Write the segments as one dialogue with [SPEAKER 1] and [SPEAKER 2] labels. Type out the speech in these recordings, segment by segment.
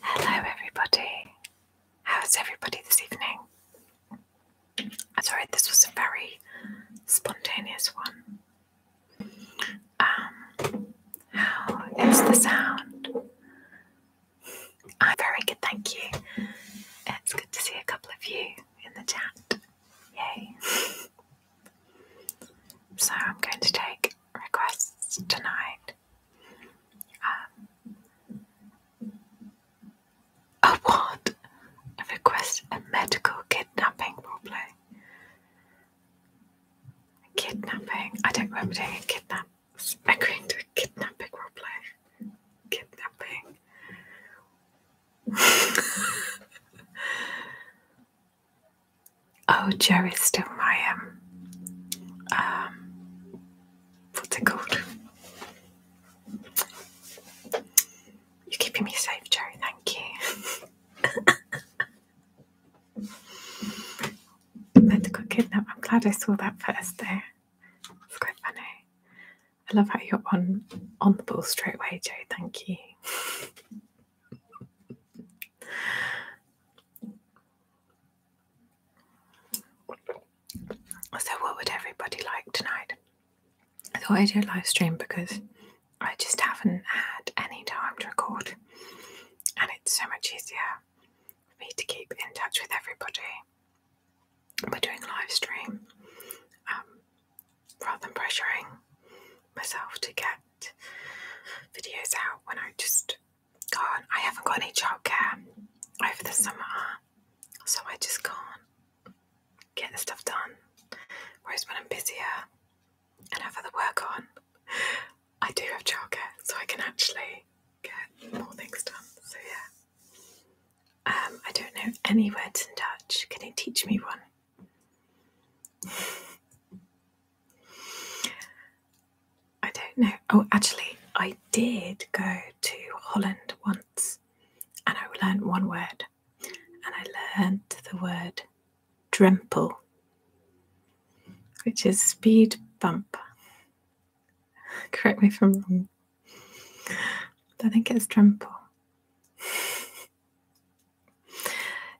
[SPEAKER 1] Hello, everybody. How's everybody this evening? Sorry, this was a very spontaneous one. Um, how is the sound? I'm very good, thank you. It's good to see a couple of you in the chat. Yay. So I'm going to take requests tonight. Um, a what? A request, a medical kidnapping, probably. kidnapping. I don't remember doing a kidnap. Agreeing to a kidnapping roleplay. Kidnapping. Oh, Joe still my um, um what's it called? You're keeping me safe, Joe. Thank you. Meant got I'm glad I saw that first there. It's quite funny. I love how you're on on the ball straight away, Joe. Thank you. so, what would everybody like tonight? I thought I'd do a live stream because I just haven't had any time to record, and it's so much easier for me to keep in touch with everybody We're doing a live stream um, rather than pressuring myself to get videos out when I just can't. I haven't got any childcare over the summer, so I just can't get the stuff done. Whereas when I'm busier and have other work on, I do have childcare, so I can actually get more things done. So yeah. Um, I don't know any words in Dutch. Can you teach me one? I don't know. Oh, actually, I did go to Holland once and I learned one word, and I learned the word "dremple," which is speed bump. Correct me if I'm wrong. I think it's dremple.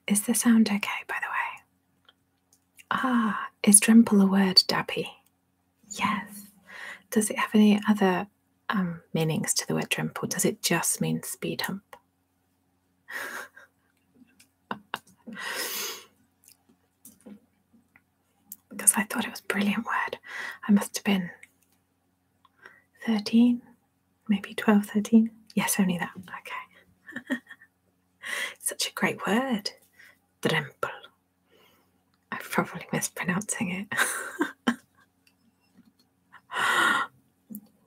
[SPEAKER 1] Is the sound okay, by the way? Ah, is Dremple a word, Dappy? Yes. Does it have any other um, meanings to the word Dremple? Does it just mean speed hump? because I thought it was a brilliant word. I must have been 13, maybe 12, 13. Yes, only that. Okay. Such a great word. Drempel. I'm probably mispronouncing it.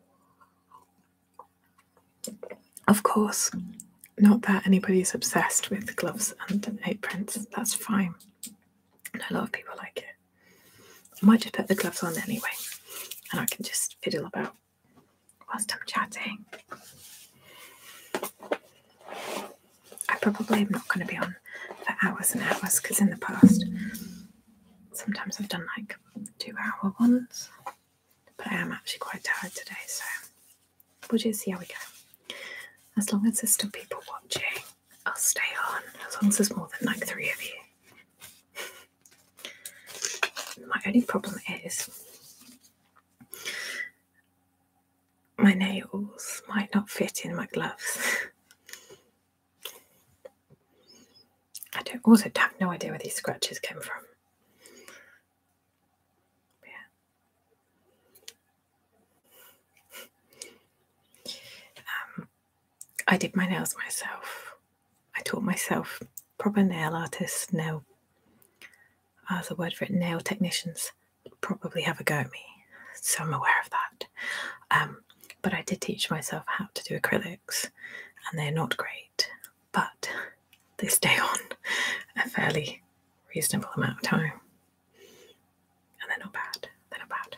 [SPEAKER 1] of course, not that anybody's obsessed with gloves and aprons. That's fine. a lot of people like it. I might just put the gloves on anyway, and I can just fiddle about whilst I'm chatting. I probably am not going to be on for hours and hours because in the past, sometimes I've done like two hour ones, but I am actually quite tired today, so we'll just see how we go. As long as there's still people watching, I'll stay on, as long as there's more than like three of you. My only problem is my nails might not fit in my gloves. I don't also have no idea where these scratches came from. Yeah. Um, I did my nails myself. I taught myself proper nail artists now, as a word for it, nail technicians probably have a go at me. So I'm aware of that. Um, but I did teach myself how to do acrylics, and they're not great, but they stay on a fairly reasonable amount of time. And they're not bad. They're not bad.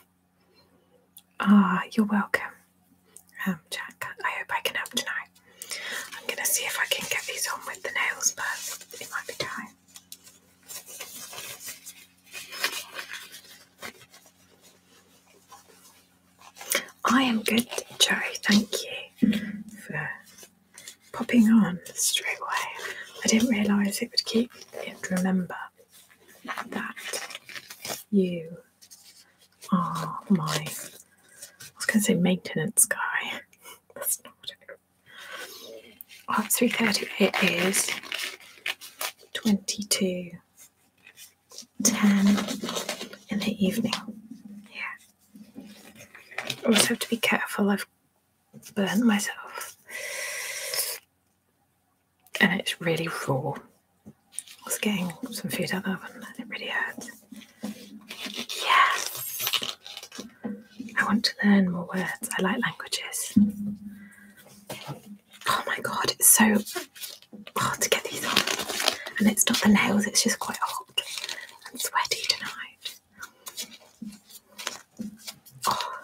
[SPEAKER 1] ah, you're welcome. Um, Jack. I hope I can help tonight. I'm going to see if I can get these on with the nails, but it might be time. I am good, Joe. Thank you for popping on straight away. I didn't realise it would keep it remember that you Oh my. I was going to say maintenance guy. That's not what it is. Oh, 338 is 22 10 in the evening. Yeah. I also have to be careful. I've burnt myself. And it's really raw. Was getting some food out of the oven. It really hurts. Yes. I want to learn more words. I like languages. Oh my god, it's so hard to get these on. And it's not the nails, it's just quite hot and sweaty tonight. Oh,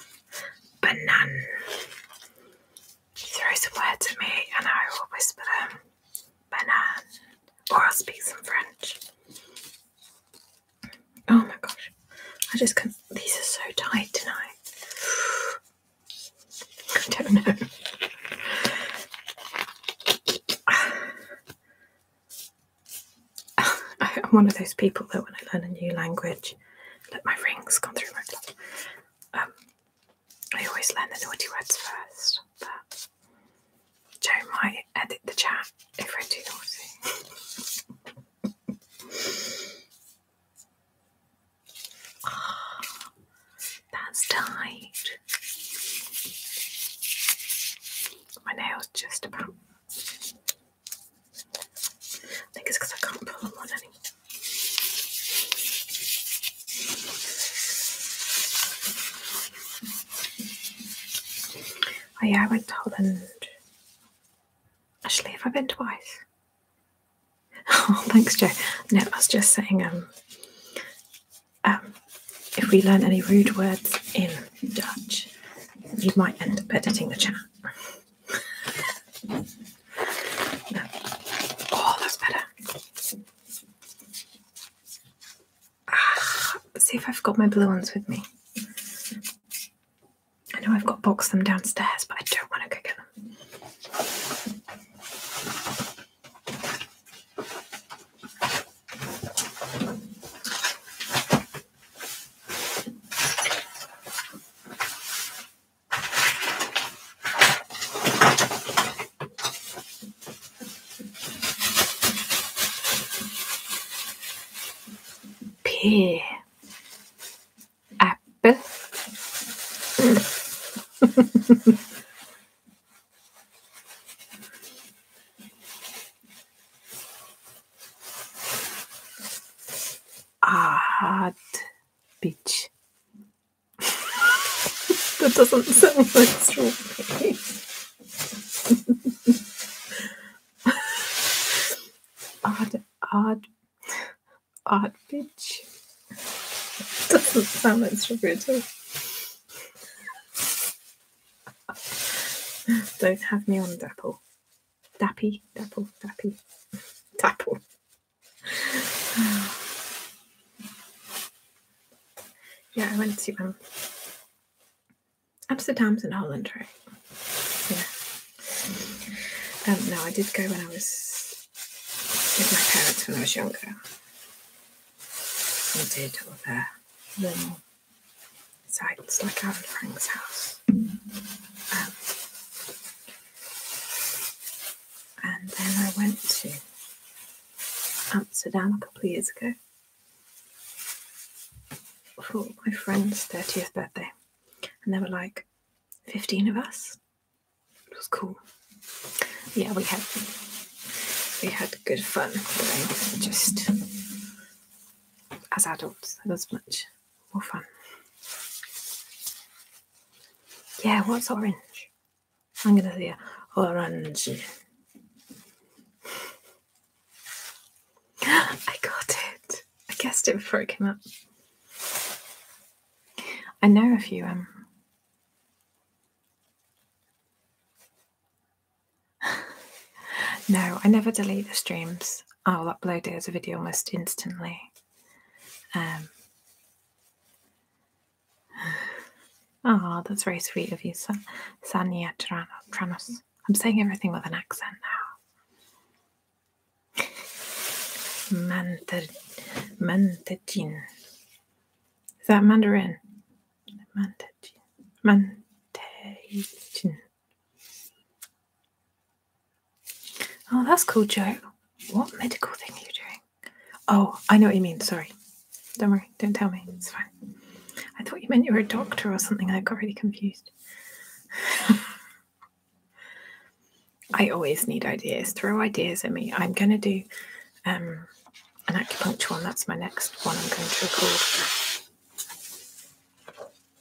[SPEAKER 1] banana throw some words at me and I will whisper them banan or I'll speak some French.
[SPEAKER 2] Oh my gosh.
[SPEAKER 1] I just can not these are so tight tonight. I don't know. I'm one of those people that when I learn a new language, like my rings gone through my um, I always learn the naughty words first, but Joe might edit the chat if I do naughty. oh, that's tight. My nails just about. I think it's because I can't pull them on anymore. Oh yeah, I went to Holland. Actually, have I been twice? Oh, thanks, Joe. No, I was just saying, um, um, if we learn any rude words in Dutch, you might end up editing the chat.
[SPEAKER 2] Oh, that's better. see
[SPEAKER 1] if I've got my blue ones with me. I know I've got boxed them downstairs, but I don't want to go get them. Pear. Apple. hard beach that doesn't sound like strawberry. odd, odd, odd bitch. Doesn't sound like strawberry at all. Don't have me on Dapple. Dappy, Dapple, Dappy, Dapple. yeah, I went to um, Amsterdam. Amsterdam's in Holland, right? Yeah. Um, no, I did go when I was with my parents when I was younger. I did all the little sites like Aaron Frank's house. Um, and then I went to Amsterdam a couple of years ago for my friend's 30th birthday. And there were like 15 of us. It was cool. Yeah, we had we had good fun just as adults. That was much more fun. Yeah, what's orange? I'm going to say orange. I got it. I guessed it before it came up. I know if you um No, I never delete the streams. I'll upload it as a video almost instantly. Um, Oh, that's very sweet of you, San- Sania Tranos. I'm saying everything with an accent now. Mandarin. Mandarin. Is that Mandarin? Mandarin. Mandarin. Oh, that's cool, Joe. What medical thing are you doing? Oh, I know what you mean. Sorry. Don't worry. Don't tell me. It's fine. I thought you meant you were a doctor or something. I got really confused. I always need ideas. Throw ideas at me. I'm going to do um, an acupuncture one. That's my next one I'm going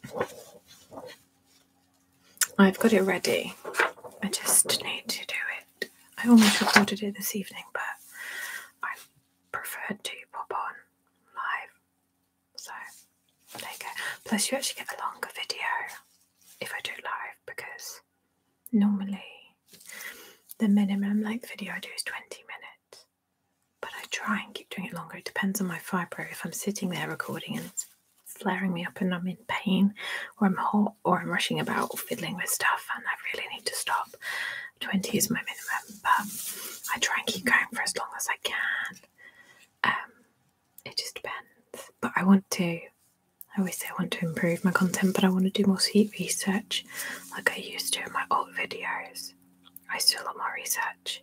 [SPEAKER 1] to record. I've got it ready. I just need to do it. I almost recorded it this evening, but I prefer to pop on live. So there you go. Plus, you actually get a longer video if I do live because normally the minimum length video I do is 20 minutes, but I try and keep doing it longer. It depends on my fibro. If I'm sitting there recording and it's flaring me up and I'm pain or I'm hot or I'm rushing about fiddling with stuff and I really need to stop. 20 is my minimum, but I try and keep going for as long as I can. Um, it just depends. But I want to, I always say I want to improve my content, but I want to do more sleep research like I used to in my old videos. I still want more research.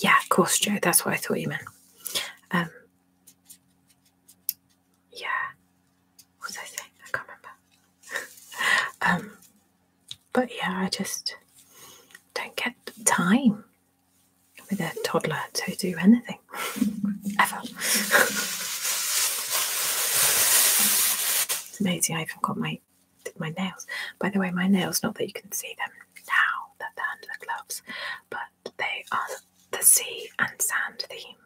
[SPEAKER 1] Yeah, of course, Joe, that's what I thought you meant. Um,
[SPEAKER 2] yeah, what was I saying? I
[SPEAKER 1] can't remember. um, but yeah, I just don't get time with a toddler to do anything ever. it's amazing. I even got my my nails. By the way, my nails. Not that you can see them now that they're under the gloves, but they are the sea and sand theme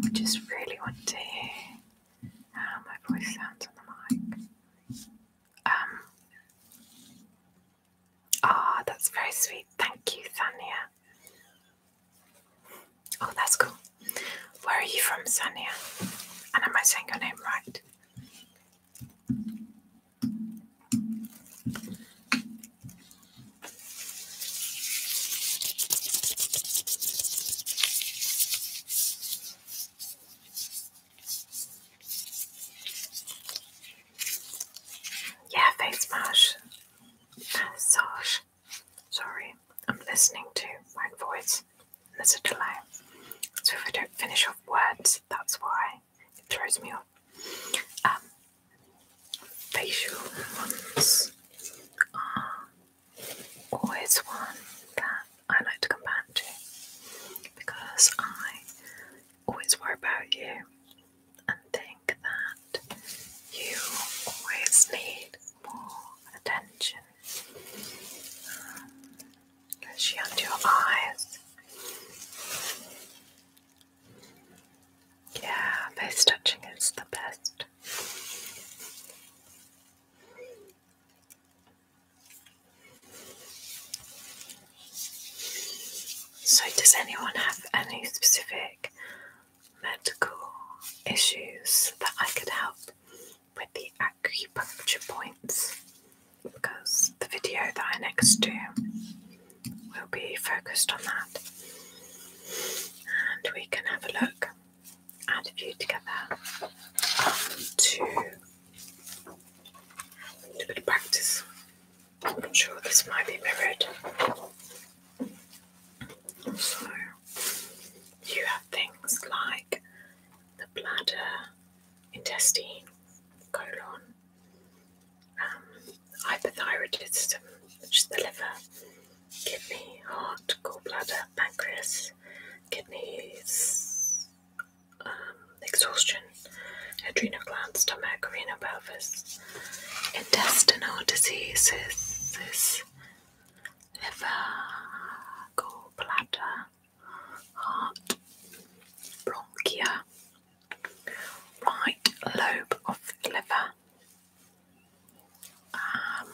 [SPEAKER 1] I just really want to hear how my voice sounds on the mic. Um. Ah, that's very sweet. Thank you, Sania. Oh, that's cool. Where are you from, Sania? And am I saying your name right?
[SPEAKER 2] Yeah, face mash.
[SPEAKER 1] Massage. Sorry, I'm listening to my voice. there's a delay. So if I don't finish off words, that's why it throws me off. Um, facial ones are always one that I like to come back to because I always worry about you and think that you always need more attention. Um, is she under your eyes? Yeah, face touching is the best. So, does anyone have any specific medical issues that I could help with the acupuncture points? because the video that I next do will be focused on that. And we can have a look and a view together to do a bit of practice. I'm not sure this might be mirrored. So you have things like the bladder intestine, colon, um, hypothyroidism, which is the liver, kidney, heart, gallbladder, pancreas, kidneys, um, exhaustion, adrenal glands, stomach, renal pelvis, intestinal diseases,
[SPEAKER 2] liver, gallbladder heart, bronchia,
[SPEAKER 1] right lobe of the liver, um,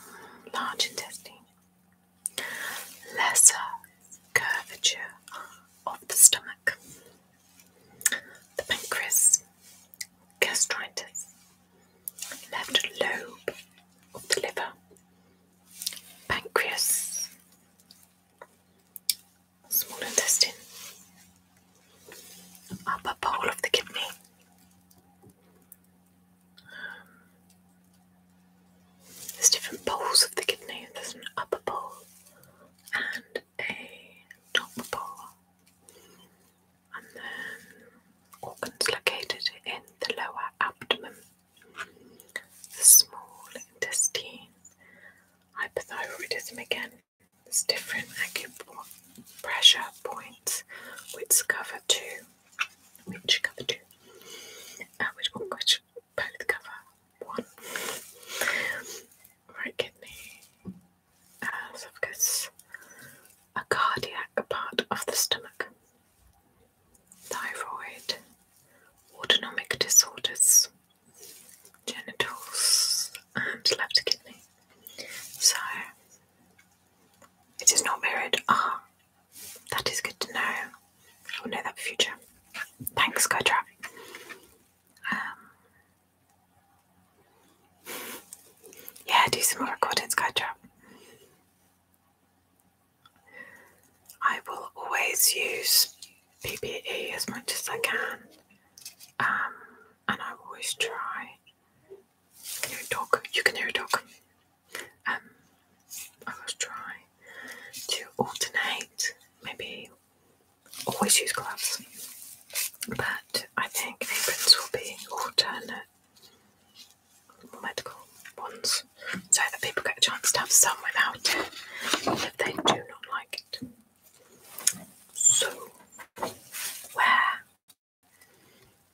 [SPEAKER 1] large intestine, lesser curvature of the stomach, the pancreas, gastritis, left lobe of the liver, pancreas, small intestine,
[SPEAKER 2] upper pole of the kidney. there's different poles of the
[SPEAKER 1] kidney. There's an upper pole and a top pole, and then organs
[SPEAKER 2] located in the lower abdomen. The small intestine.
[SPEAKER 1] Hypothyroidism again. There's different pressure points which cover two,
[SPEAKER 2] which cover two,
[SPEAKER 1] uh, which, which both cover one. Right kidney, uh, a cardiac part of the stomach thyroid, autonomic disorders, genitals, and left kidney. So it is not mirrored. Ah, that is good to know. I will know that for future. Thanks, Skytrap. Um, yeah, do some more recording, Skytrap. I will always use PPE as much as I can, um, and I always try. Can you dog? You can hear a dog. Um, I always try to alternate. Maybe always use gloves, but I think aprons will be alternate medical ones so that people get a chance to have some without it if they do not like it. So, where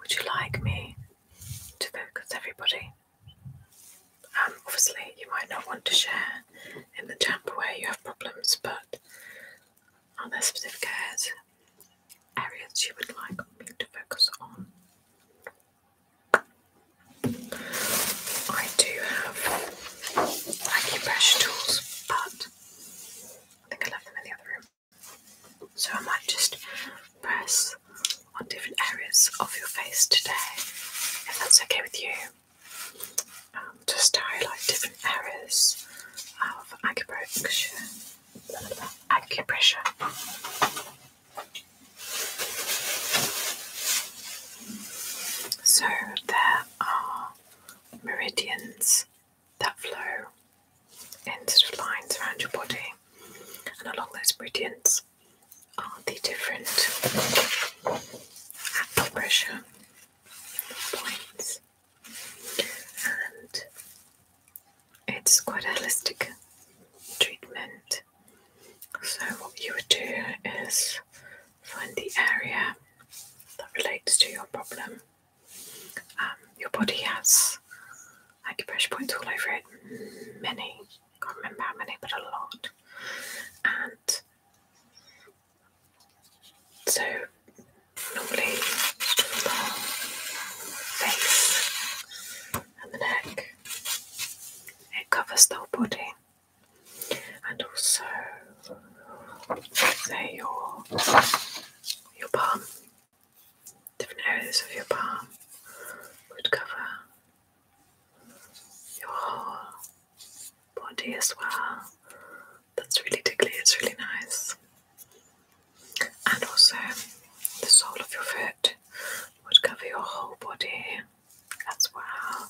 [SPEAKER 1] would you like me to focus everybody? Um, obviously, you might not want to share in the temp where you have problems, but are there specific areas you would like me to focus on? I do have acupressure tools, but I think I left them in the other room. So I might just press on different areas of your face today, if that's okay with you. Um, just to different areas of acupressure. Acupressure. So there are meridians that flow in sort of lines around your body, and along those meridians are the different acupressure points, and it's quite a holistic treatment so, what you would do is find the area that relates to your problem. Um, your body has acupressure points all over it, many, I can't remember how many, but a lot. And so, normally, face and the neck, it covers the whole body and also say your your palm, different areas of your palm would cover your whole body as well. That's really tickly, it's really nice. And also the sole of your foot would cover your whole body. That's wow.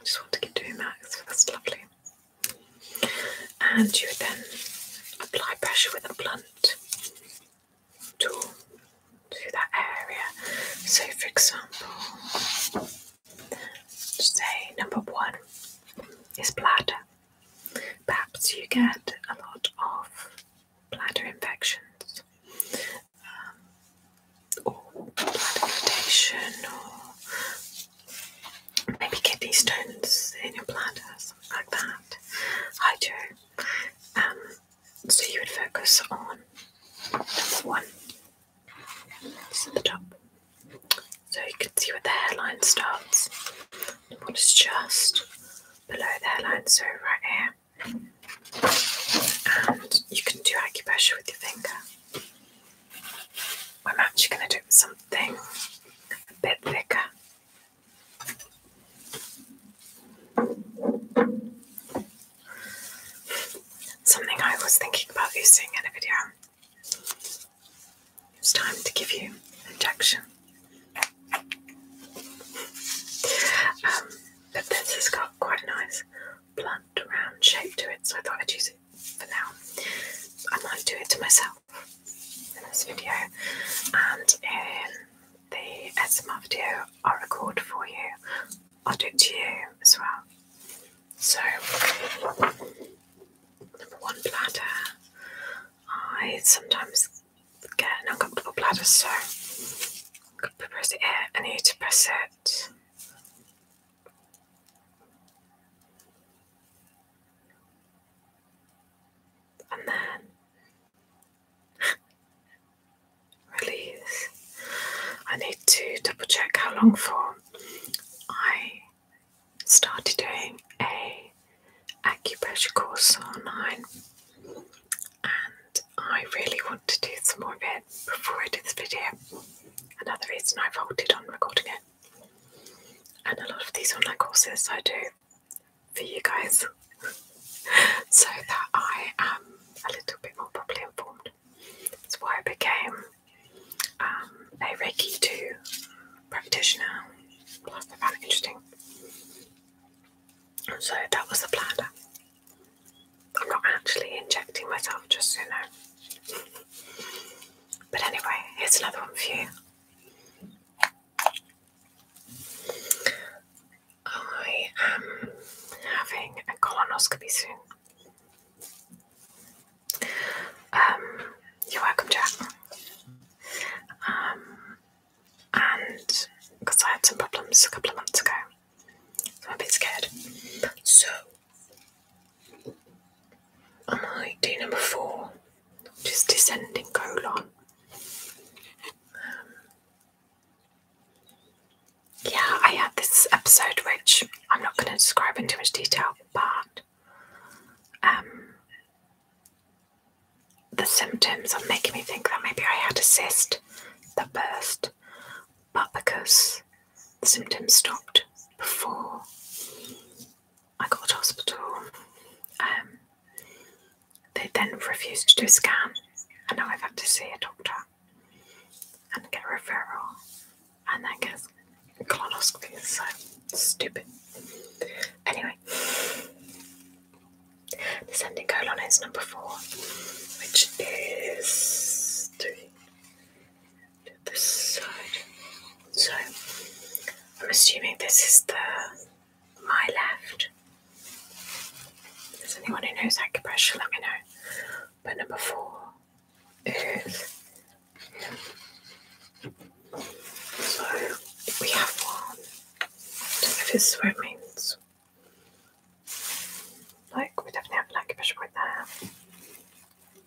[SPEAKER 1] I just want to get two max. That's lovely. And you would then apply pressure with a blunt tool to that area. So, for example, say number one is bladder. Perhaps you get a lot of bladder infections, um, or bladder irritation or maybe kidney stones in your bladder, something like that. Hi, Joe. Um, so you would focus on number one. It's at the top. So you can see where the hairline starts. And what is just below the hairline, so right here and you can do acupressure with your finger. I'm actually going to do something a bit thicker. Something I was thinking about using in a video. It's time to give you an injection. Um, but this has got quite a nice blunt round shape to it, so I thought I'd use it for now. I might do it to myself in this video and in um, the SMR video I'll record for you. I'll do it to you as well. So number one bladder. I sometimes get an uncomfortable bladder so press it I need to press it. And then release. I need to double check how long for. I started doing a acupuncture course online and I really want to do some more of it before I do this video. Another reason I've halted on recording it. And a lot of these online courses I do for you guys so that I am a little bit more properly informed. That's why I became um, a Reiki 2 practitioner. Plus, I found it interesting. So that was the plan. I'm not actually injecting myself, just so you know. But anyway, here's another one for you. I am having a colonoscopy soon. Um, you're welcome, Jack. Um, and because I had some problems a couple of months ago, I'm a bit scared. So, I might do number four, just descending colon. Um, yeah, I had this episode, which I'm not going to describe in too much detail, but um, the symptoms are making me think that maybe I had a cyst that burst but because the symptoms stopped before I got to hospital, um, they then refused to do a scan, and now I've had to see a doctor and get a referral and then get a colonoscopy. So stupid. Anyway, the Descending colon is number four, which is to this side. So I'm assuming this is the my left. If anyone who knows acupressure, let me know. But number four is
[SPEAKER 2] so we have one. I do if this is means.
[SPEAKER 1] Like, we definitely have an lancashire right there.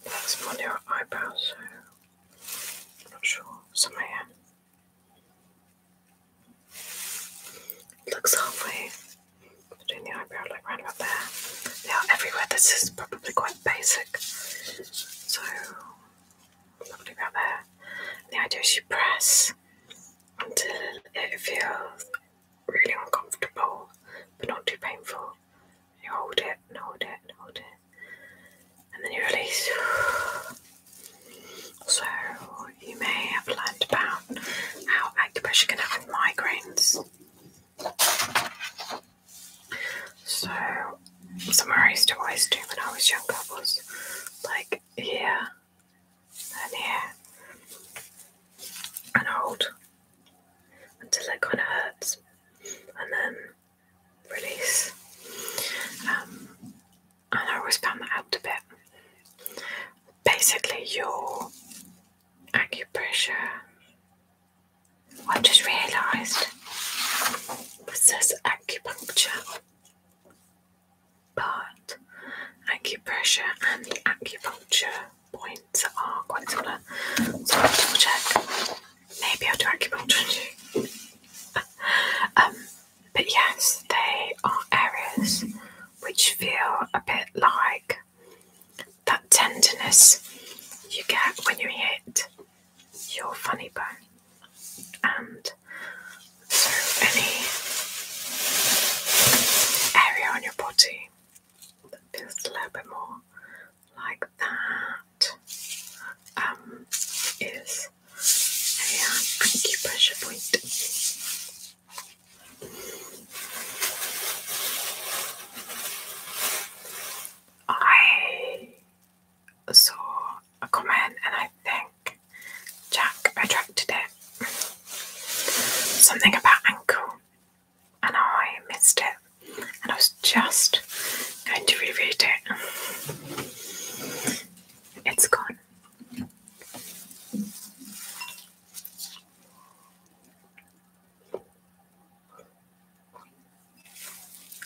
[SPEAKER 1] That's more near eyebrows, so I'm not sure. Somewhere here. Looks halfway between the eyebrow, like right about there. They are everywhere. This is probably quite basic. So, probably about there. The idea is you press until it feels really uncomfortable, but not too painful. You hold it and hold it and hold it, and then you release. So you may have learned about how acupuncture can help migraines. So somewhere I used to always do when I was younger was like here. Yeah, and here and hold until it kind of hurts and then release. Um, and I always found that helped a bit. Basically, your acupressure. I just realised was this acupuncture. But acupressure and the acupuncture points are quite similar. So i double check. Maybe I'll do acupuncture um, but yes, they are areas which feel a bit like that tenderness you get when you hit your funny bone. And so any area on your body that feels a little bit more like that
[SPEAKER 2] um, a uh, point.
[SPEAKER 1] I saw a comment and I think Jack attracted it Something about ankle, and I missed it, and I was just going to reread it. It's gone.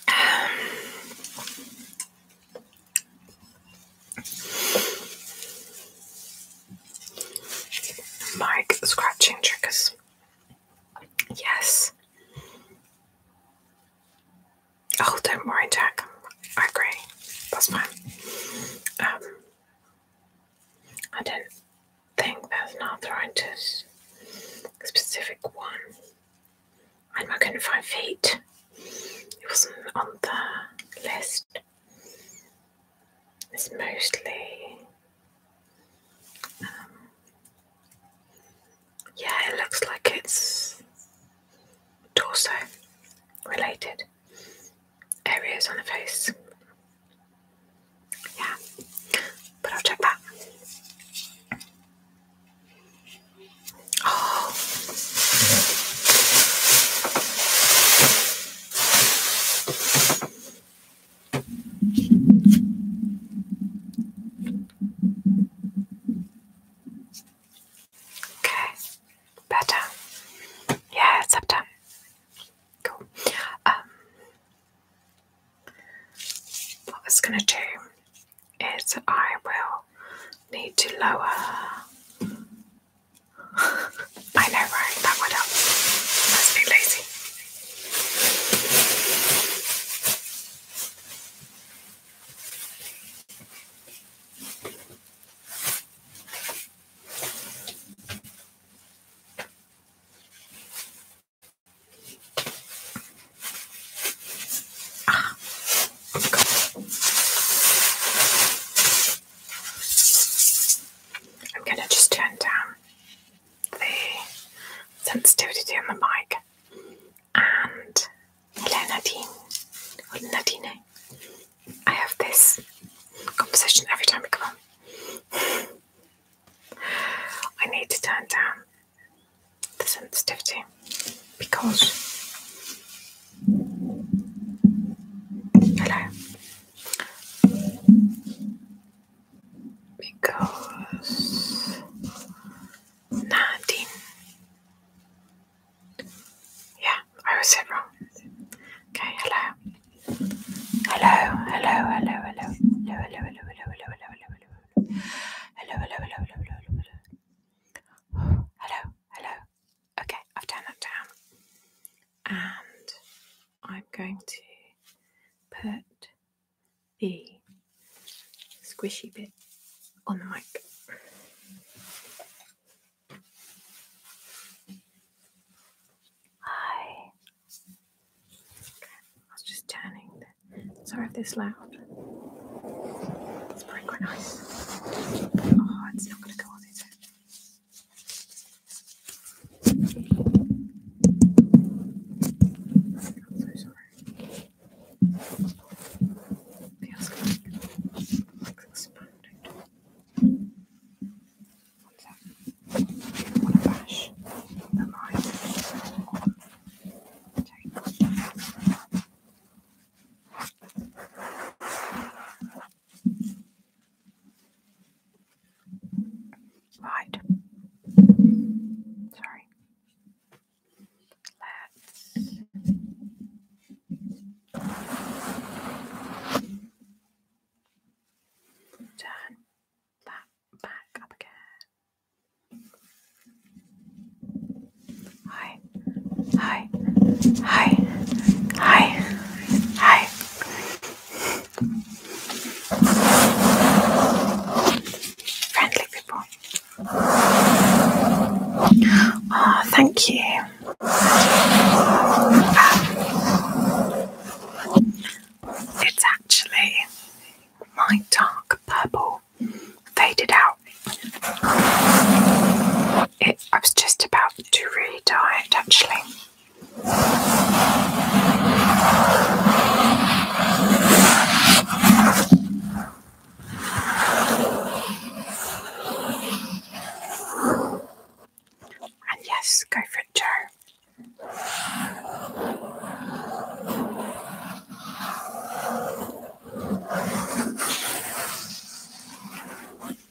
[SPEAKER 1] Um, Mark scratching triggers. Yes. Oh, don't worry, Jack. I agree. That's fine. Um, I don't think there's an arthritis specific one. I'm not going to find feet. It wasn't on the list.
[SPEAKER 2] It's mostly, um, yeah, it looks like it's
[SPEAKER 1] torso related areas on the face. Yeah, but I'll check that. Oh, Okay, better. Yeah, it's up to. Cool. Um, what I am going to do is I will need to lower
[SPEAKER 2] I know, right? That would help. Let's be lazy.
[SPEAKER 1] Ah, I'm going to just turn down the sensitivity on the mic and hello Nadine or Nadine I have this conversation every time we come on I need to turn down the sensitivity because hello because nineteen. Yeah, I was wrong. Okay, hello. Hello, hello, hello, hello, hello, hello, hello, hello, hello, hello, hello, hello, hello, Okay, I've turned that down and I'm going to put the squishy bit on the mic. Hi. I was just turning. Sorry if this loud. It's probably quite nice. Oh, it's not going to go on, is it?
[SPEAKER 2] I'm so sorry. Feels like, like it's pounding. What's that? I don't want to bash the line. Okay. Right. Sorry. Let's.
[SPEAKER 1] Turn that back up again. Hi, hi, hi, hi, hi. Friendly people. Oh, thank you. Um, it's actually my dark purple faded out. It, I was just about to redo it actually. And yes, go for it, Joe.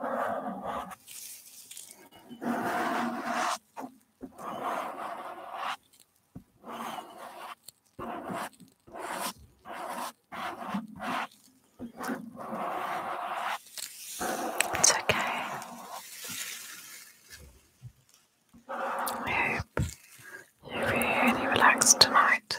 [SPEAKER 1] It's okay. I hope you really relaxed tonight.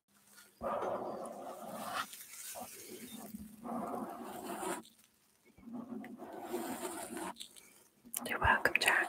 [SPEAKER 2] You're welcome, Jack.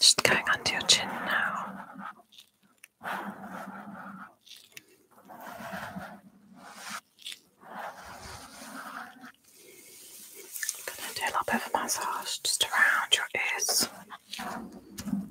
[SPEAKER 1] Just going under your chin now. going to do a little bit of massage just around your ears.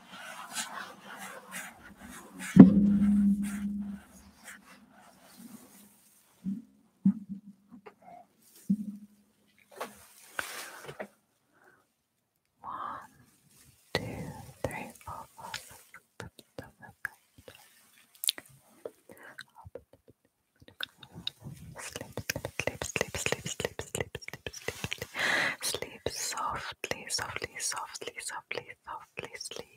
[SPEAKER 2] One, two, three, four, five, six, seven, sleep, sleep, sleep, sleep, sleep, sleep, sleep, sleep, sleep softly, softly,
[SPEAKER 1] softly, softly, softly, sleep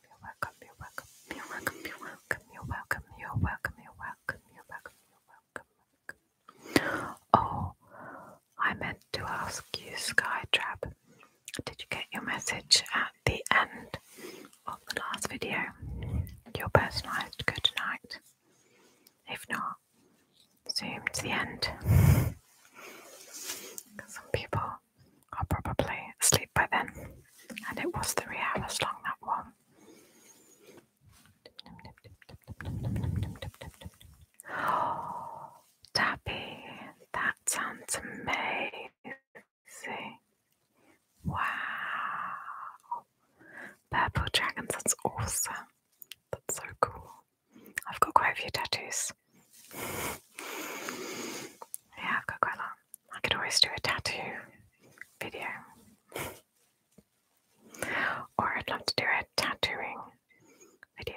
[SPEAKER 1] you're welcome, you're welcome, you're welcome, you're welcome, you're welcome, you're welcome, you're welcome, you're welcome, you're welcome. Oh, I meant to ask you, Skytrap, did you get your message at the end of the last video? Your personalized good night. If not, zoom to the end. Some people are probably asleep by then and it was the Rihanna long that one. Dabby, that sounds amazing. Wow. Purple dragons, that's awesome. That's so cool. I've got quite a few tattoos. yeah, quite a lot. I could always do a tattoo video. or I'd love to do a tattooing video.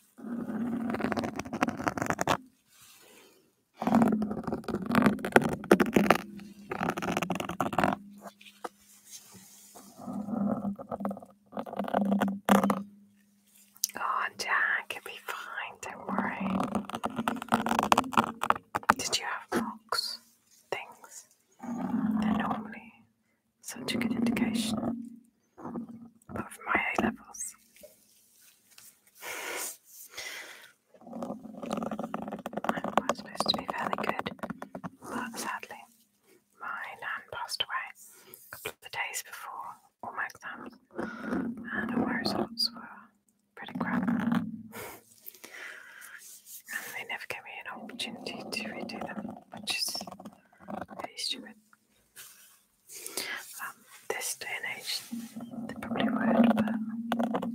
[SPEAKER 1] Oh, Jack, it'll be fine, don't worry. Did you have box things?
[SPEAKER 2] They're normally such a good indication but for my A levels.
[SPEAKER 1] Mine was to be fairly good, but sadly, my nan passed away a couple of days before all my exams, and my results were pretty crap. and they never gave me an opportunity to redo them, which is really stupid. Um, this day and age they probably would, but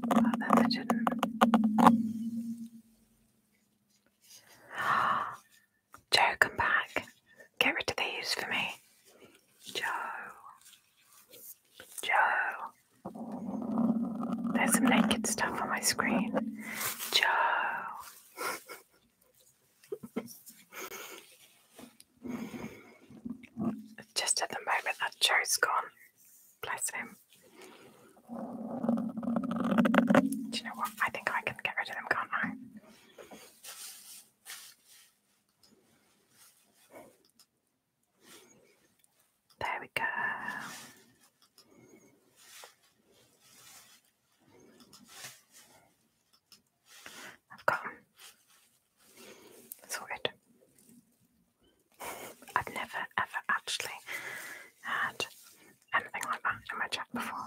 [SPEAKER 1] back then they didn't. Joe, come back. Get rid of these for me. Joe. Joe. There's some naked stuff on my screen. Joe. Just at the moment that Joe's gone. Bless him. Do you know what? I think I can get rid of them, can't I? There we go. I've got it's I've never
[SPEAKER 2] ever actually had anything like that in my chat before.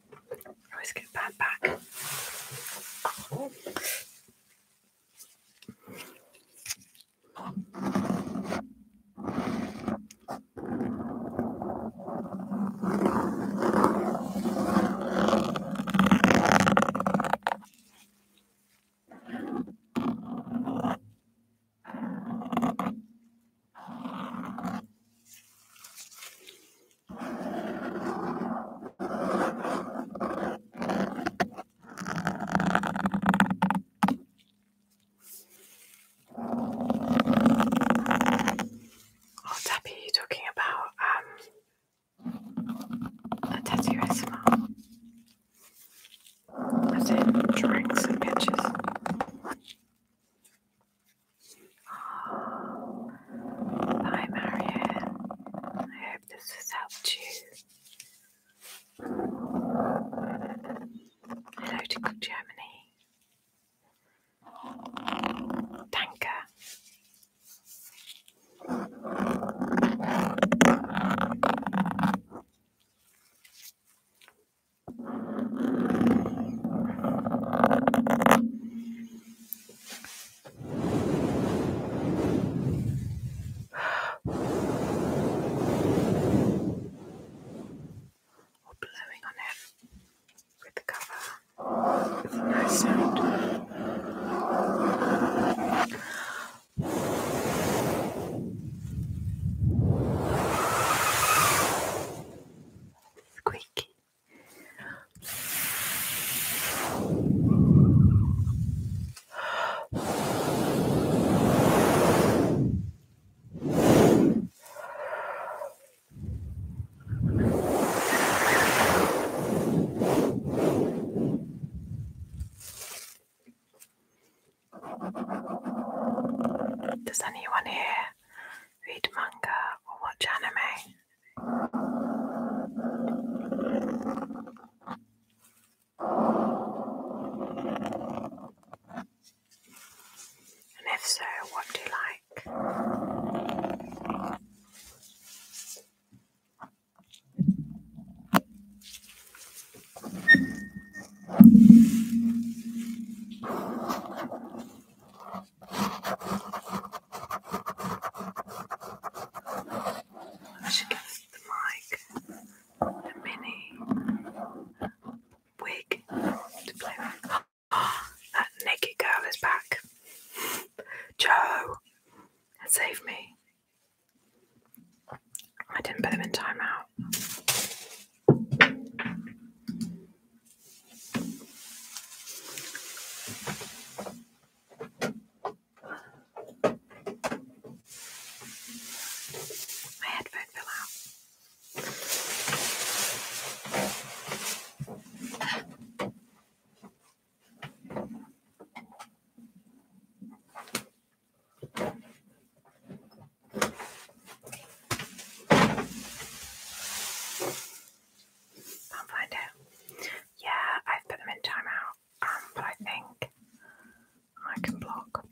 [SPEAKER 2] I always get bad back.
[SPEAKER 1] Oh, Debbie, you talking about um a tattoo SMR? As in drawings and pictures. Oh, hi Marianne. I hope this has helped you. Hello to Germany. Tanker or blowing on it with the cover. nice sound. Squeaky. Does anyone here read manga or watch
[SPEAKER 2] anime? And if so, what do you like? I should get the mic a mini
[SPEAKER 1] wig to play with. that naked girl is back. Joe, save me. I didn't put him in timeout. My headphone fell out i not find it. Yeah, I've put them in timeout, um, but I think I can block.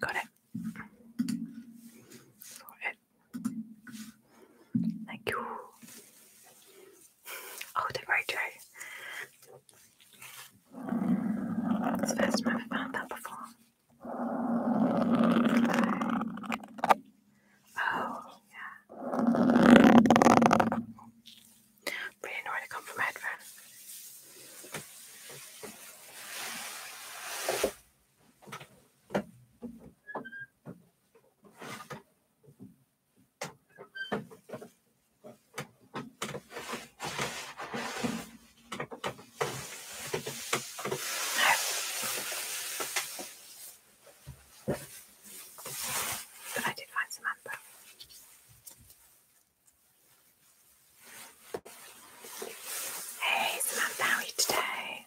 [SPEAKER 1] Got it. Got Thank you. Oh, the Rojo. It's the first time i that before. oh, yeah. Really annoying to come from a but I did find some amber. Hey, Samantha, how are you today?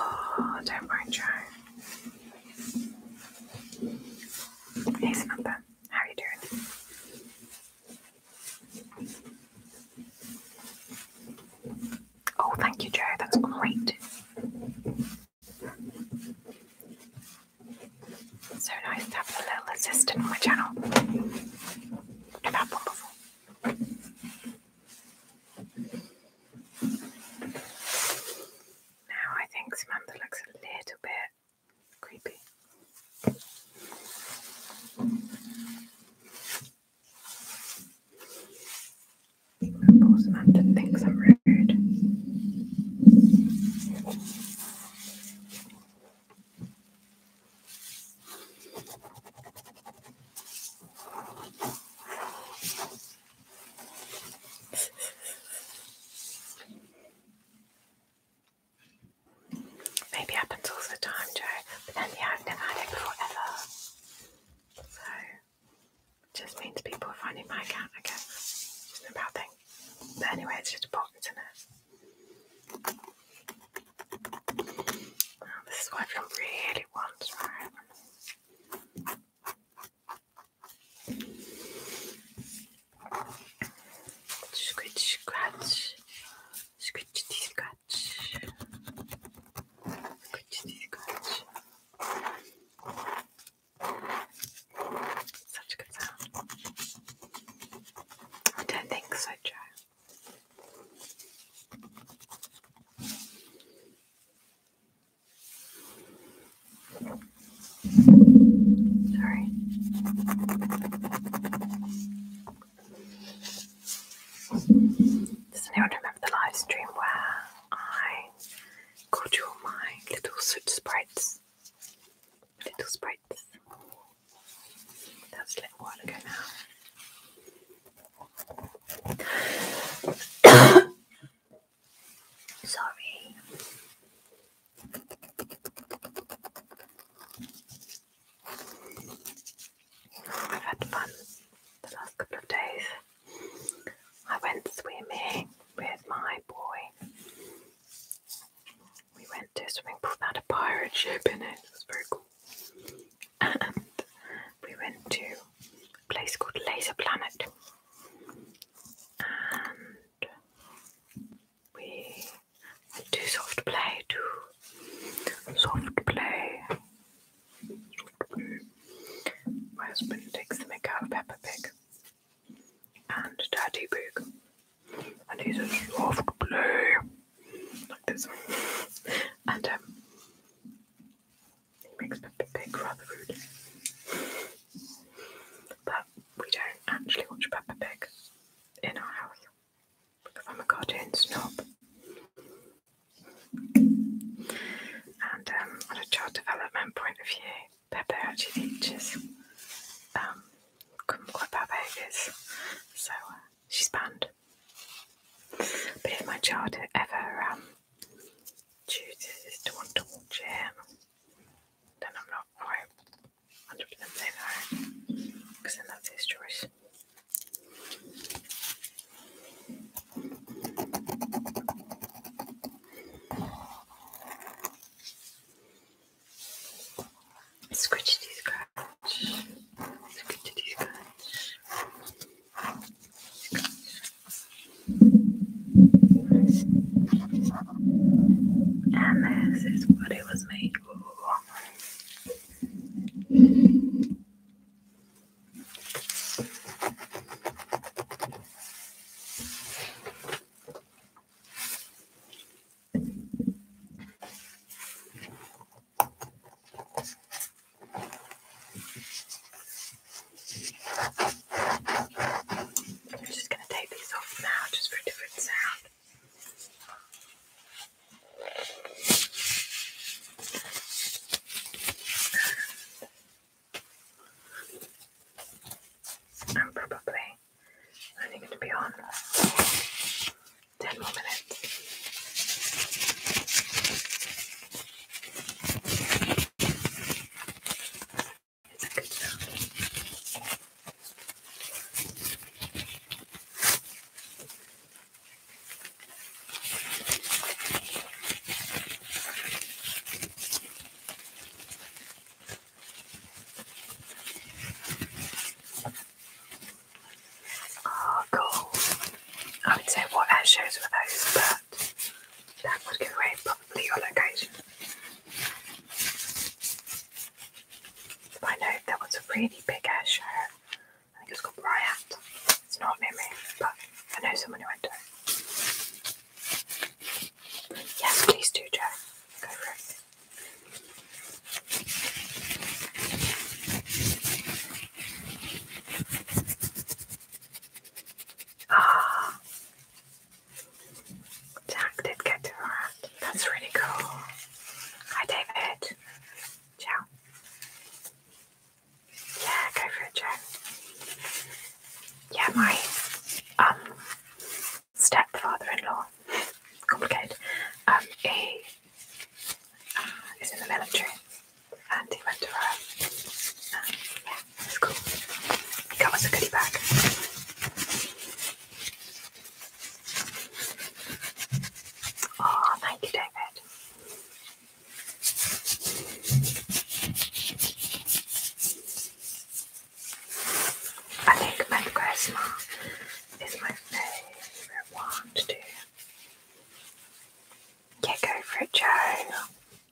[SPEAKER 1] Oh, don't mind Joe. Hey Samantha, how are you doing? Oh, thank you, Joe. That's great. So nice to have a little assistant on my channel. Never one before. Now I think Samantha looks a little bit creepy. Both mountain things are rude. Maybe happens all the time, Joe, but then yeah, I've never had it before ever. So it just means people are finding my account, again. It's not a bad thing. But anyway, it's just a bot, is
[SPEAKER 2] oh, this is what everyone really wants, Scratch, scratch, scratch, scratch, scratch, scratch.
[SPEAKER 1] Such good sound. I don't think so, Joe. Sorry. Does anyone remember the live stream where I Go to my little soot sprites. Little sprites. That's a little while ago now. Sorry. I've had fun the last couple of days. I went swimming with my boy. We went to swimming pool that a pirate ship in it. It was very cool. And we went to a place called Laser Planet. And we went soft play too. Soft play. My husband takes the mick out of Peppa Pig and Daddy Pig. And he's a soft blue Like this. and um, he makes Peppa Pig rather rude. But we don't actually watch Peppa Pig in our house. Because I'm a goddamn snob. And um, on a child development point of view, Pepper actually teaches um, kumquat papegas, so uh, she's banned. But if my child ever um, chooses to want to watch him, then I'm not quite 100% saying
[SPEAKER 2] no, because then that's his choice. Scratchity scratch. Scratchity scratch. And this is what it was made for. I'm
[SPEAKER 1] just going to take these off now
[SPEAKER 2] just for a different sound.
[SPEAKER 1] I'm probably only going to be on 10 more minutes. It's a good sound. Oh, cool. I would say what air shows were those, but that would give away probably your location. I know that was a really big air show. I think it's called Riot. It's not near me, but I know someone who went to it. Yes, please do, Jack. Go for it.
[SPEAKER 2] Ah, Jack did get to That's really cool. Hi, David. Ciao. Yeah, go for it, Jack yeah, my um,
[SPEAKER 1] stepfather-in-law, complicated, um, he uh, is in the military, and he
[SPEAKER 2] went to Rome. Um, yeah, it's He got us a goodie bag. Oh, thank you, David. I think my Grandma is my favourite one to do. Yeah, go for it, Joe.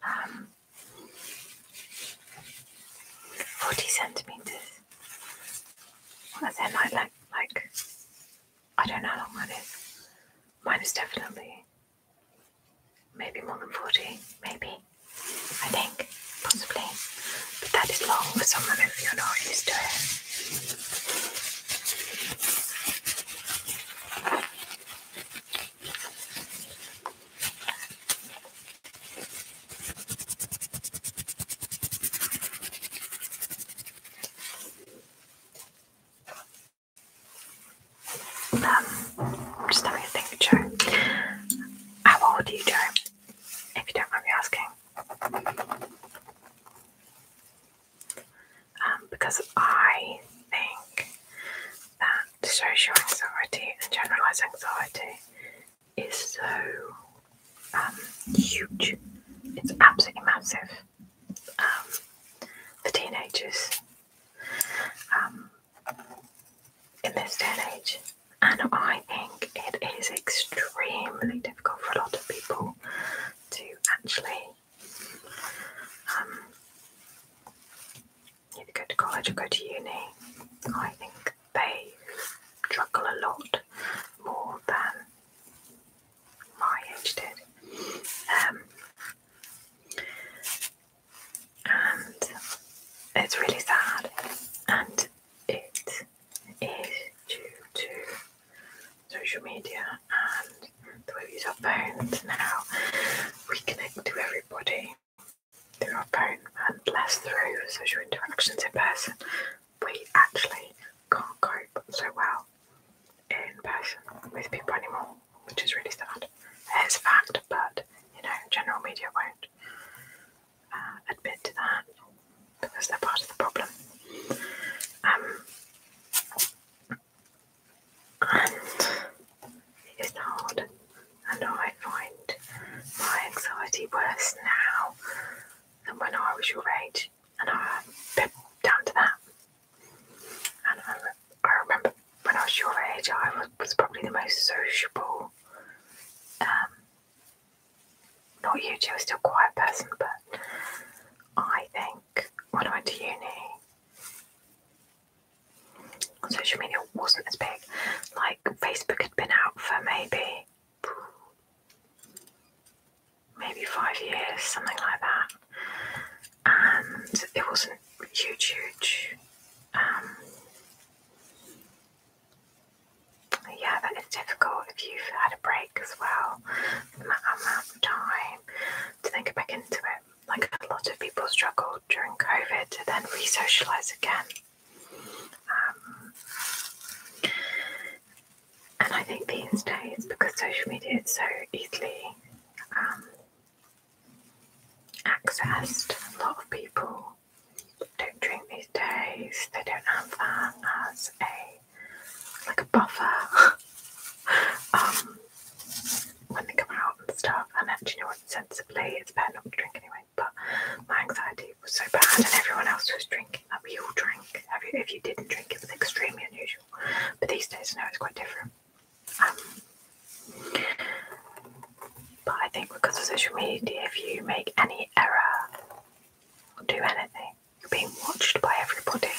[SPEAKER 1] Um, 40 centimetres. What is their night like? Like, I don't know how long mine is. Mine is definitely maybe more than 40, maybe, I think, possibly. But that is long for someone if you're not used to it i um, just having a think, Joe. How old are you, Joe? If you don't mind me asking. Um, because I think that social anxiety and generalized anxiety is so um, huge. It's absolutely massive. for teenagers in this day and age. And I think it is extremely difficult for a lot of people to actually, um, either go to college or go to uni. I think they struggle a lot more than my age did. Um, and it's really sad, and it is due to social media and the way we use our phones now. We connect to everybody through our phone and less through social interactions in person. We actually can't cope so well in person with people anymore, which is really sad. It's a fact, but you know, general media won't uh, admit to that because they're part of the problem. Um, and it is hard, and I find my anxiety worse now than when I was your age, and I'm down to that. And um, I remember when I was your age, I was, probably the most sociable. Um, not you two, I was still a quiet person, but I think when I went to uni, social media wasn't as big. Like Facebook had been out for maybe maybe five years, something like that. And it wasn't huge, huge. Um, yeah, that is difficult if you've had a break as well, the amount of time to then go back into it. Like a lot of people struggled during COVID to then re again. Um, and I think these days, because social media is so easily um, accessed. A lot of people don't drink these days. They don't have that as a like a buffer um, when they come out and stuff. And actually, you know what? Sensibly, it's better not to drink anyway. But my anxiety was so bad, and everyone else was drinking. That we all drank. If you didn't drink, it was extremely unusual. But these days, no, it's quite different. Um, but I think because of social media, if you make any error or do anything, you're being watched by everybody,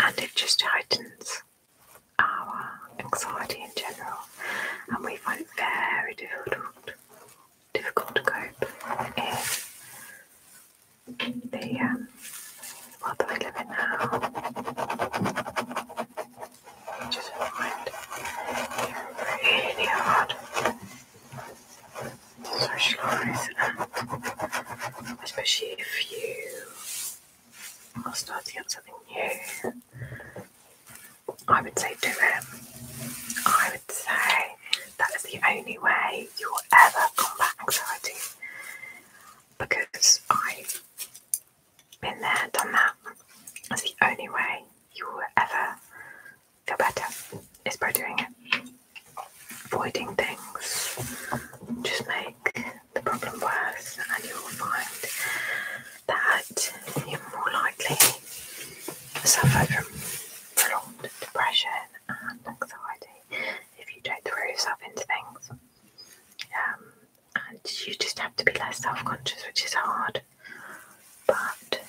[SPEAKER 1] and it just heightens our anxiety in general, and we find it very difficult difficult to cope if the um, world
[SPEAKER 2] that we live in now which is a friend from Brainerd. Socialize and
[SPEAKER 1] especially if you are starting up something new, I would say do it. I would say that is the only way you will ever combat anxiety because I been there, done that. That's the only way you will ever feel better is by doing it. Avoiding
[SPEAKER 2] things just make the problem worse, and you will find that you're more likely to suffer
[SPEAKER 1] from prolonged depression and anxiety if you don't throw yourself into things. Um, and you just have to be less self conscious, which is hard. But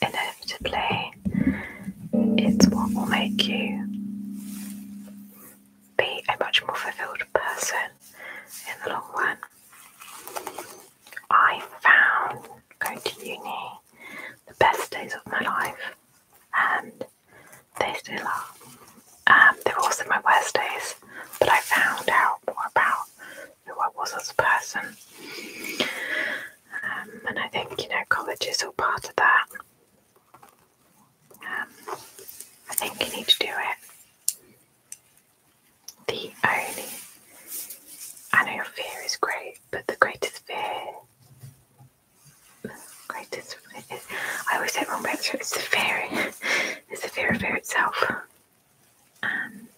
[SPEAKER 1] inevitably, it's what will make you be a much more fulfilled person in the long run. I found going to uni the best days of my life, and they still are. Um, they were also my worst days, but I found out more about who I was as a person. Um, and I think, you know, college is all part of that. Um, I think you need to do it. The only, I know your fear is great, but the greatest fear greatest. I always say wrong, but it's the fear. It's the fear of fear itself and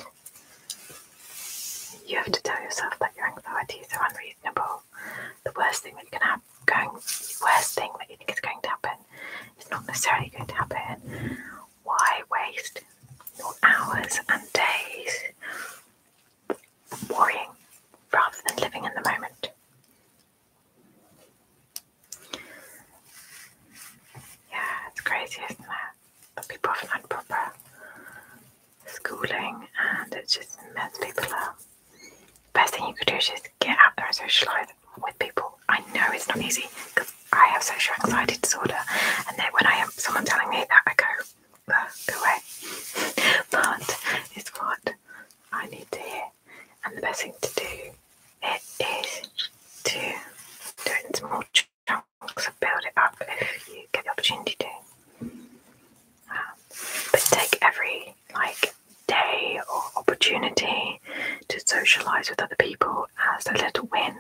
[SPEAKER 1] you have to tell yourself that your anxieties are unreasonable. The worst thing that can happen, going, worst thing that you think is going to happen, is not necessarily going to happen. Why waste your hours and days worrying rather than living in the moment? Yeah, it's crazy, isn't it? people not proper schooling and it just messes people up. Best thing you could do is just get out there and socialise with people. I know it's not easy because I have social anxiety disorder, and then when I have someone telling me that, I go, away. but it's what I need to hear, and the best thing to do it is to do it more chunks build it up if you get the opportunity to. Um, but take every like day or opportunity to socialize with other people as a little win.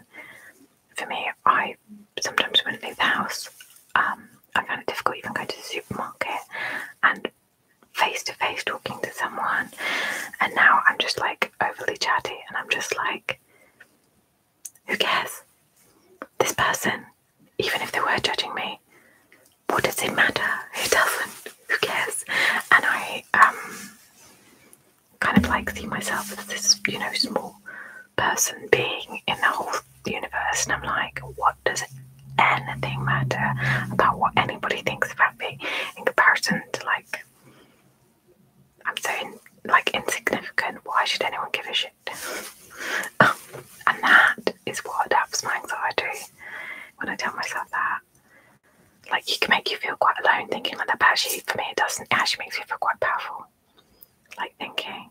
[SPEAKER 1] For me, I sometimes wouldn't leave the house. Um, I find it difficult even going to the supermarket and face to face talking to someone. And now I'm just like overly chatty and I'm just like, who cares? This person, even if they were judging me, what does it matter? Who doesn't? Who cares? And I um, kind of like see myself as this, you know, small person being in the whole universe, and I'm like, what does anything matter about what anybody thinks about me in comparison to like I'm so like insignificant. Why should anyone give a shit? and that is what helps my anxiety when I tell myself that. Like, it can make you feel quite alone thinking like that, but actually, for me, it doesn't. actually makes me feel quite powerful. Like, thinking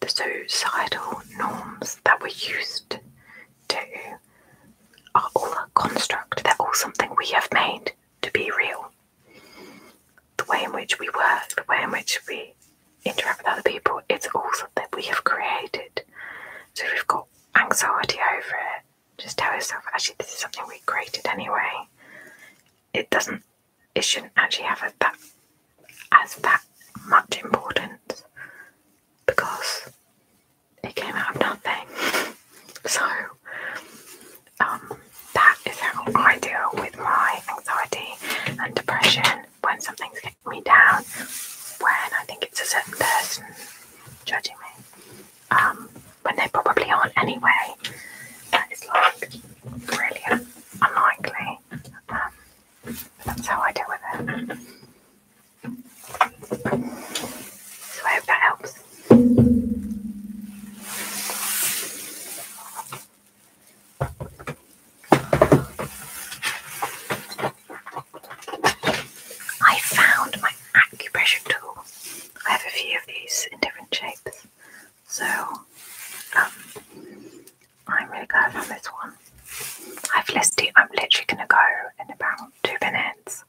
[SPEAKER 1] the suicidal norms that we're used to are all a construct, they're all something we have made to be real the way in which we work, the way in which we interact with other people, it's all something we have created. So if we've got anxiety over it, just tell yourself, actually, this is something we created anyway. It doesn't, it shouldn't actually have that as that much importance because it came out of nothing. So um, that is how I deal with my anxiety and depression when something's getting me down, when I think it's a certain person judging me, um, when they probably aren't anyway. That is like really unlikely. Um, that's how I deal with it. So I hope that helps.
[SPEAKER 2] I found my acupressure tool.
[SPEAKER 1] I have a few of these in different shapes, so um, I'm really glad I found this one. I've listed. I'm literally gonna go in about two minutes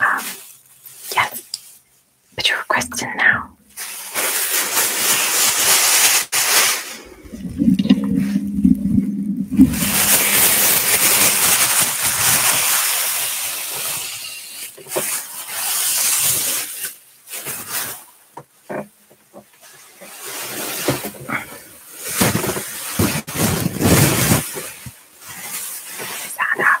[SPEAKER 1] um, yes. But your question now. Is that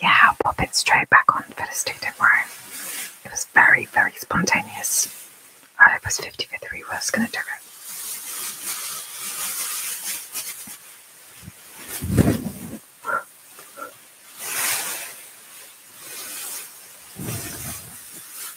[SPEAKER 1] Yeah, pop it straight back on for the state. don't worry. It was very, very spontaneous. I was 50 for 3 was going to do it.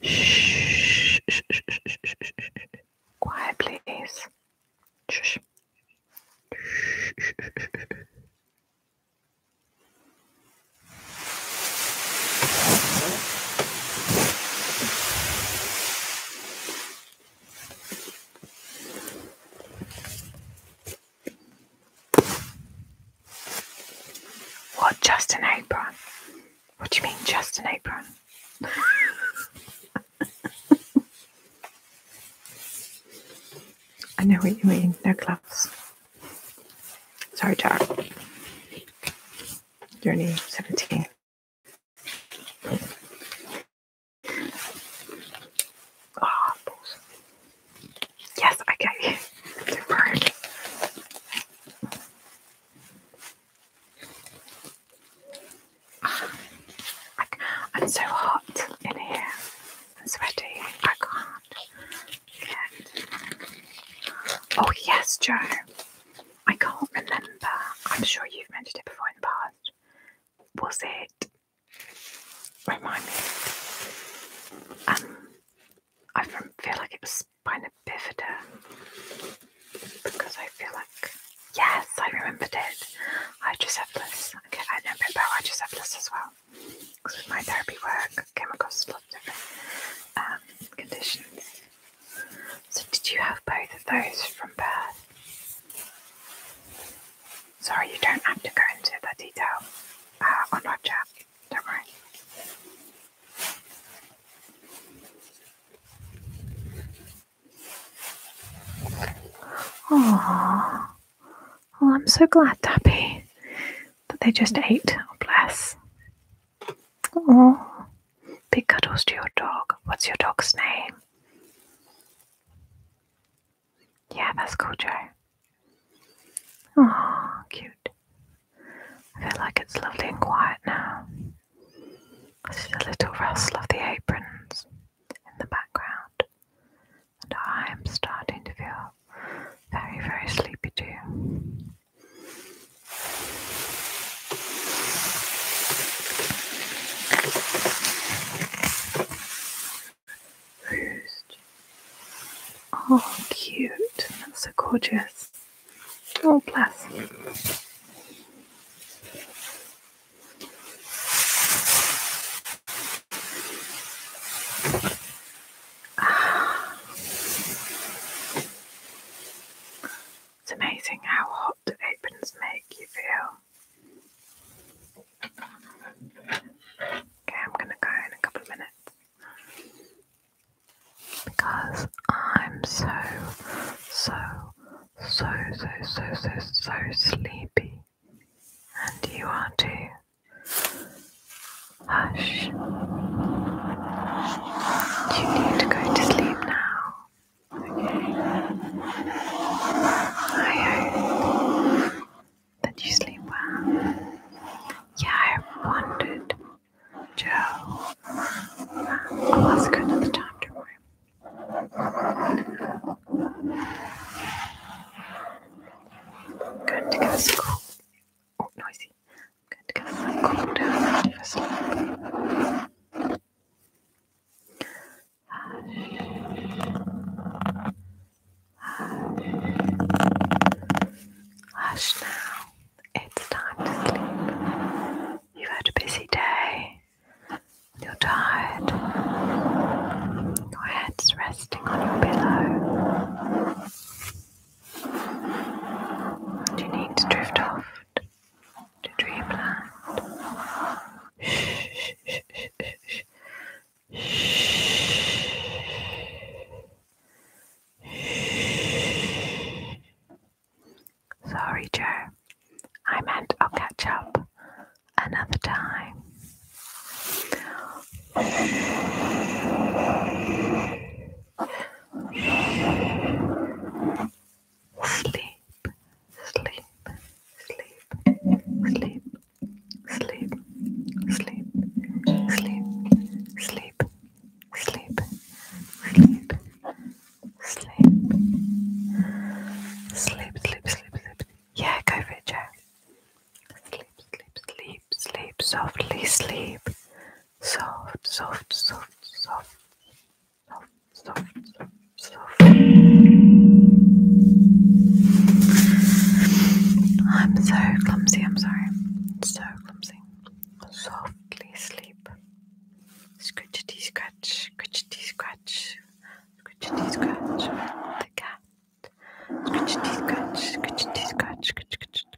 [SPEAKER 2] Shh. Quiet, please.
[SPEAKER 1] What, just an apron? What do you mean, just an apron? I know what you mean, no gloves. Sorry, Jack. Your name? only 17.
[SPEAKER 2] Ah, oh, Yes, I get you. Don't
[SPEAKER 1] I'm so hot in here and sweaty. I can't Oh, yes, Joe. I can't remember. I'm sure you've mentioned it before in the past. Was it? Remind me. Um, I feel like it was Spina bifida. Because I feel like, yes, I remember it. Hydrocephalus. Okay, I know about this as well. Because with my therapy work, I came across a lot of different um, conditions. So, did you have both of those from birth? Sorry, you don't have to go into the detail uh, on our chat do
[SPEAKER 2] Oh,
[SPEAKER 1] I'm so glad, Dappy, that they just ate. or bless.
[SPEAKER 2] Oh,
[SPEAKER 1] big cuddles to your dog. What's your dog's name? Yeah, that's cool, Joe.
[SPEAKER 2] Oh, cute.
[SPEAKER 1] I feel like it's lovely and quiet now. Just a little rustle of the aprons in the background, and I am starting to feel very, very sleepy too.
[SPEAKER 2] Oh, cute! That's so gorgeous. Oh, ah. bless. It's
[SPEAKER 1] amazing how hot the aprons make you feel. Okay, I'm going to go in a couple of minutes because I'm so, so, so, so, so, so, so sleepy, and you are too.
[SPEAKER 2] Hush. You need to go to sleep now. I hope that you sleep well. Yeah, I wondered Joe, Oscar at the to room. i
[SPEAKER 1] going to get a cool. Oh, noisy. going to get a cool down Hush. Hush now. It's time to sleep. You've had a busy day. You're tired. Your head's resting on your pillow. you need to drift off to dreamland. Sorry, Joe. I meant I'll catch up another time. Sleep, sleep, sleep, sleep, sleep, sleep, sleep, sleep, sleep, sleep, sleep, sleep, sleep, sleep, sleep, sleep. Yeah, go for it, Jack. Sleep, sleep, sleep, sleep, softly sleep. Soft, soft, soft, soft, soft, soft, soft, soft. I'm so clumsy, I'm sorry. So clumsy softly sleep. Scratchity scratch, scratchity scratch, scratchity
[SPEAKER 2] scratch the cat. Scratchity scratch, scratchity scratch, scratch, scratch.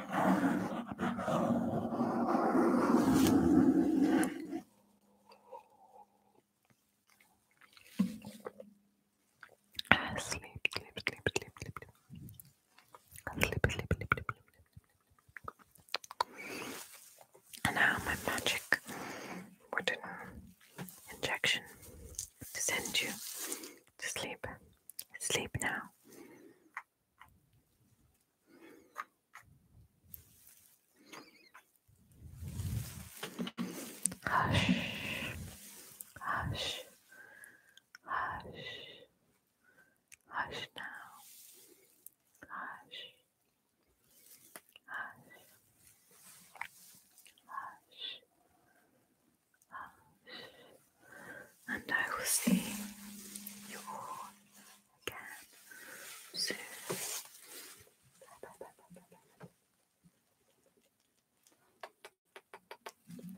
[SPEAKER 2] Sleep, sleep, sleep, sleep, sleep, sleep, sleep, sleep, sleep, sleep, sleep. And now my magic wooden injection to send you to sleep. Sleep now. Hush, hush, hush, hush now. Hush, hush, hush, and I will see you all again soon.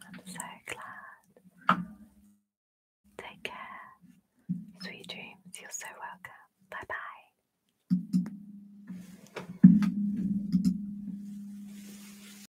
[SPEAKER 1] Bye, bye, bye, bye, bye. I'm so glad. Take care. Sweet dreams. You're so welcome.
[SPEAKER 2] Bye bye.